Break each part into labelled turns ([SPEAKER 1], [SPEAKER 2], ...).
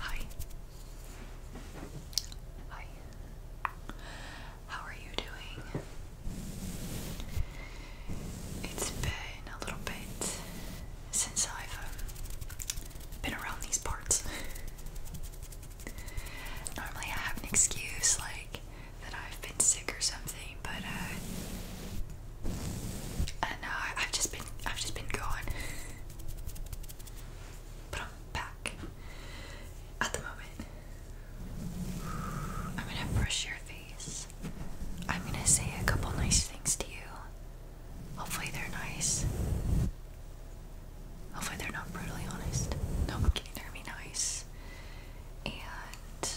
[SPEAKER 1] Hi. Hi. How are you doing? It's been a little bit since I've um, been around these parts. Normally I have an excuse like that I've been sick or something, but I uh, know uh, I've just been I've just been gone, but I'm back at the moment. I'm gonna brush your face. I'm gonna say a couple nice things to you. Hopefully they're nice. Hopefully they're not brutally honest. No, I'm They're gonna be nice and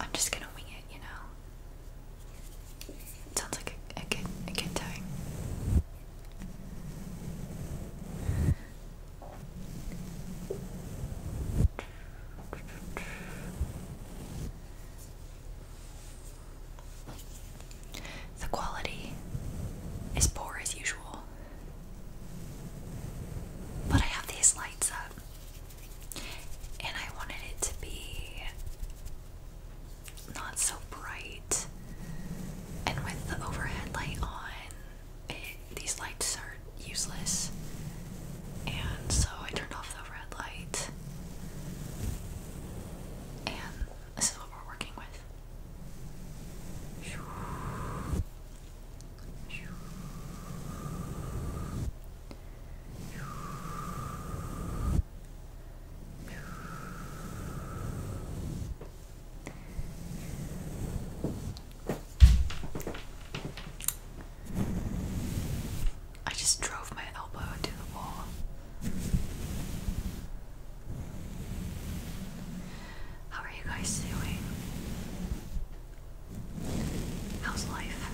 [SPEAKER 1] I'm just gonna wing it, you know. sounds like a, a good a good time. The quality is poor as usual. But I have these lights up, and I wanted it to be not so bright. And with the overhead light on, these lights are useless. And so I turned off the overhead light. And this is what we're working with. I just drove my elbow into the wall. How are you guys doing? How's life?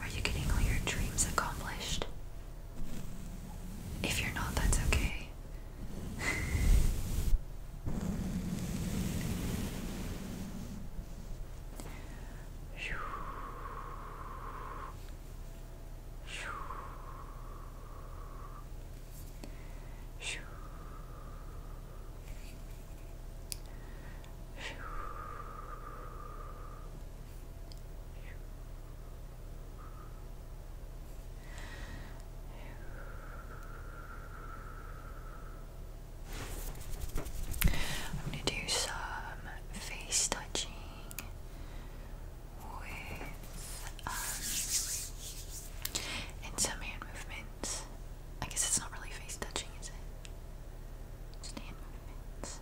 [SPEAKER 1] Are you getting all your dreams accomplished? If you're not, that's okay. Shoo. I'm going to do some face touching with and um, some hand movements. I guess it's not really face touching, is it? hand movements.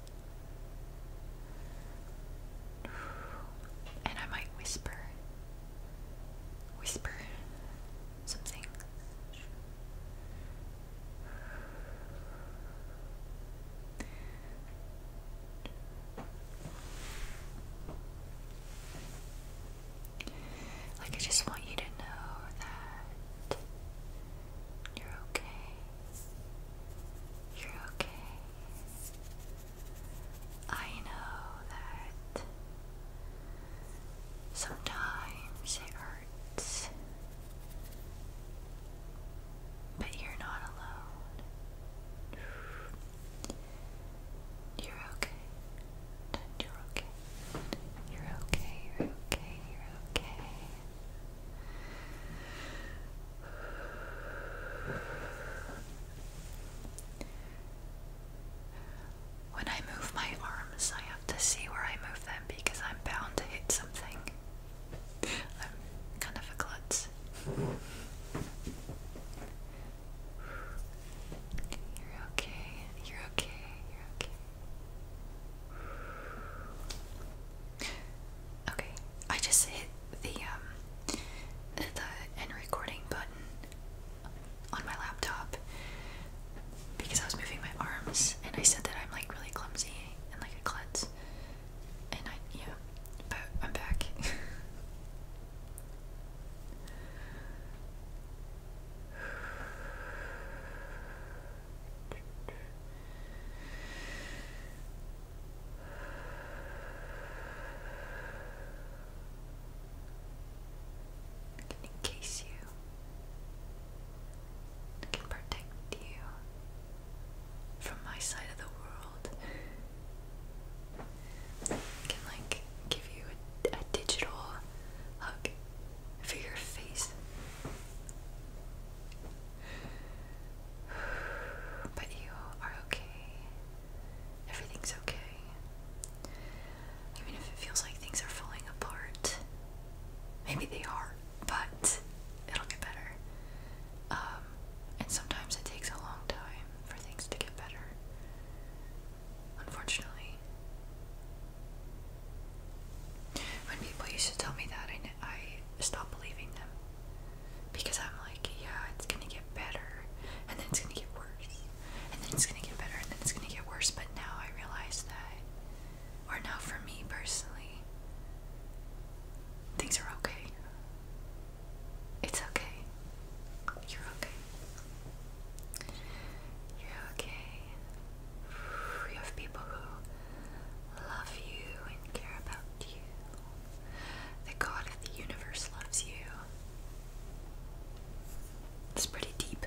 [SPEAKER 1] And I might whisper, whisper something. Like, I just want you to know that you're okay. You're okay. I know that sometimes it hurts, but you're not alone. You're okay. You're okay. You're okay. You're okay. You're okay. When I move my arms, I have to see where I move them because I'm bound to hit something kind of a klutz. You're okay, you're okay, you're okay. Okay, I just hit the um the end recording button on my laptop because I was moving my arms and I said that I'm like really clumsy and like a klutz. And I, yeah, but I'm back. Can encase you. Can protect you from my side of the world can like give you a digital hug for your face. But you are okay. Everything's okay. Even if it feels like things are falling apart, maybe they are, but it'll get better. Um, and sometimes it takes a long time for things to get better. Unfortunately. When people used to tell me that, I, I stopped believing them. Because I'm like, yeah, it's gonna get better, and then it's gonna get worse, and then it's gonna get better, and then it's gonna get worse. But now I realize that, or now for me personally, Things are okay. It's okay. You're okay. You're okay. You have people who love you and care about you. The God of the universe loves you. It's pretty deep.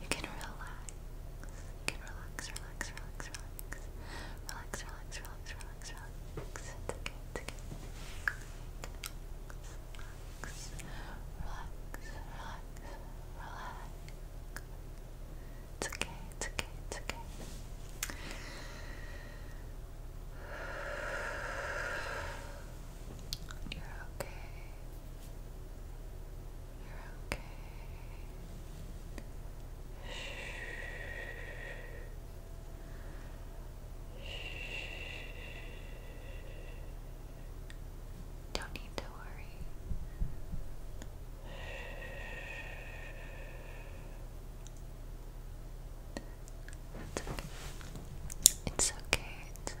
[SPEAKER 1] You can relax. You can relax, relax, relax, relax. Relax, relax, relax, relax, relax. It's okay, it's okay. Relax, relax, relax, relax. It's okay, it's okay, it's okay. You're okay. You're okay. Shh. Shh. Don't need to worry. It's It's okay. It's okay.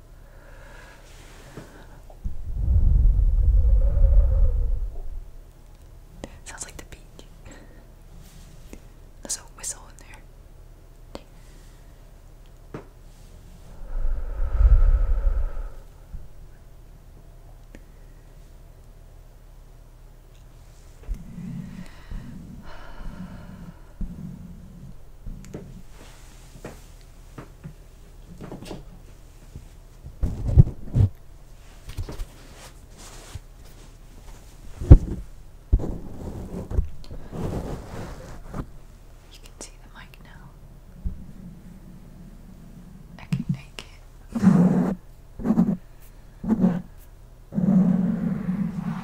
[SPEAKER 1] Sounds like the beach. There's a whistle in there. You can see the mic now. I can make it.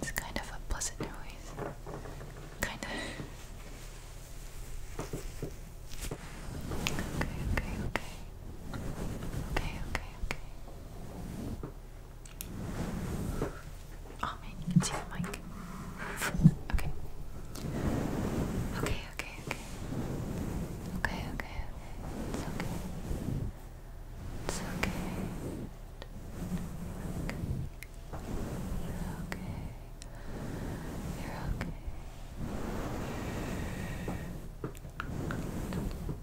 [SPEAKER 1] It's kind of a pleasant noise. Kind of. Okay, okay, okay. Okay, okay, okay. Oh man, you can see the mic. okay. Okay, okay, okay. Okay, It's okay. It's okay. You're okay. You're okay.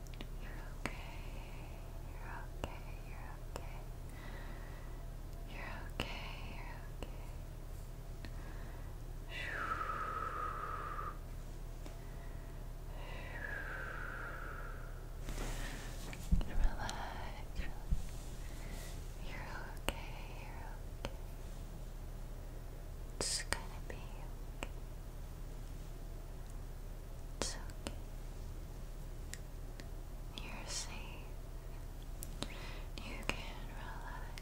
[SPEAKER 1] You're okay. You're okay. You're okay. You're okay. You're okay. Relax. You're okay. You're okay. It's gonna be okay. You're safe. You can relax.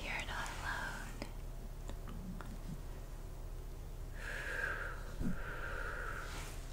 [SPEAKER 1] You're not alone.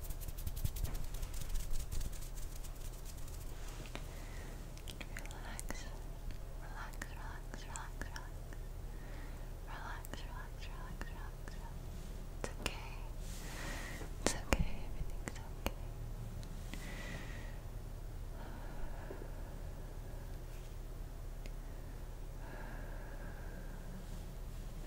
[SPEAKER 1] Relax, relax, relax, relax, relax. Relax, relax, relax, It's okay. It's okay, everything's okay.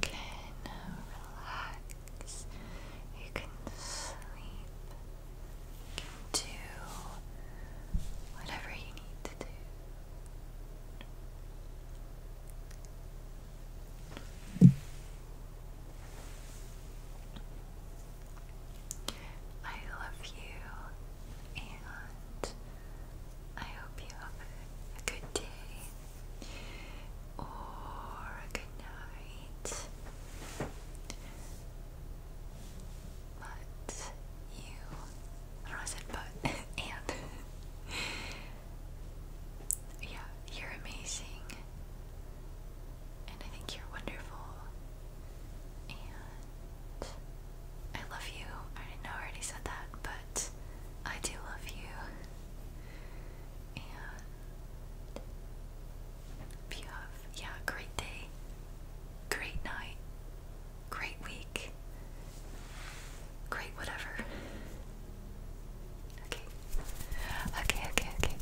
[SPEAKER 1] can relax, you can sleep, you can do whatever you need to do. I love you and I hope you have a good day or good night. But you, I don't know why I said but, and yeah, you're amazing, and I think you're wonderful, and I love you. I didn't know I already said that, but I do love you. And if you have, yeah, great day, great night, great week, great whatever. Okay. Okay, okay, okay.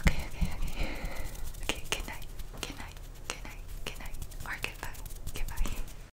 [SPEAKER 1] Okay, okay, okay. good night. Good night. Good night. Good night. Or goodbye. Goodbye.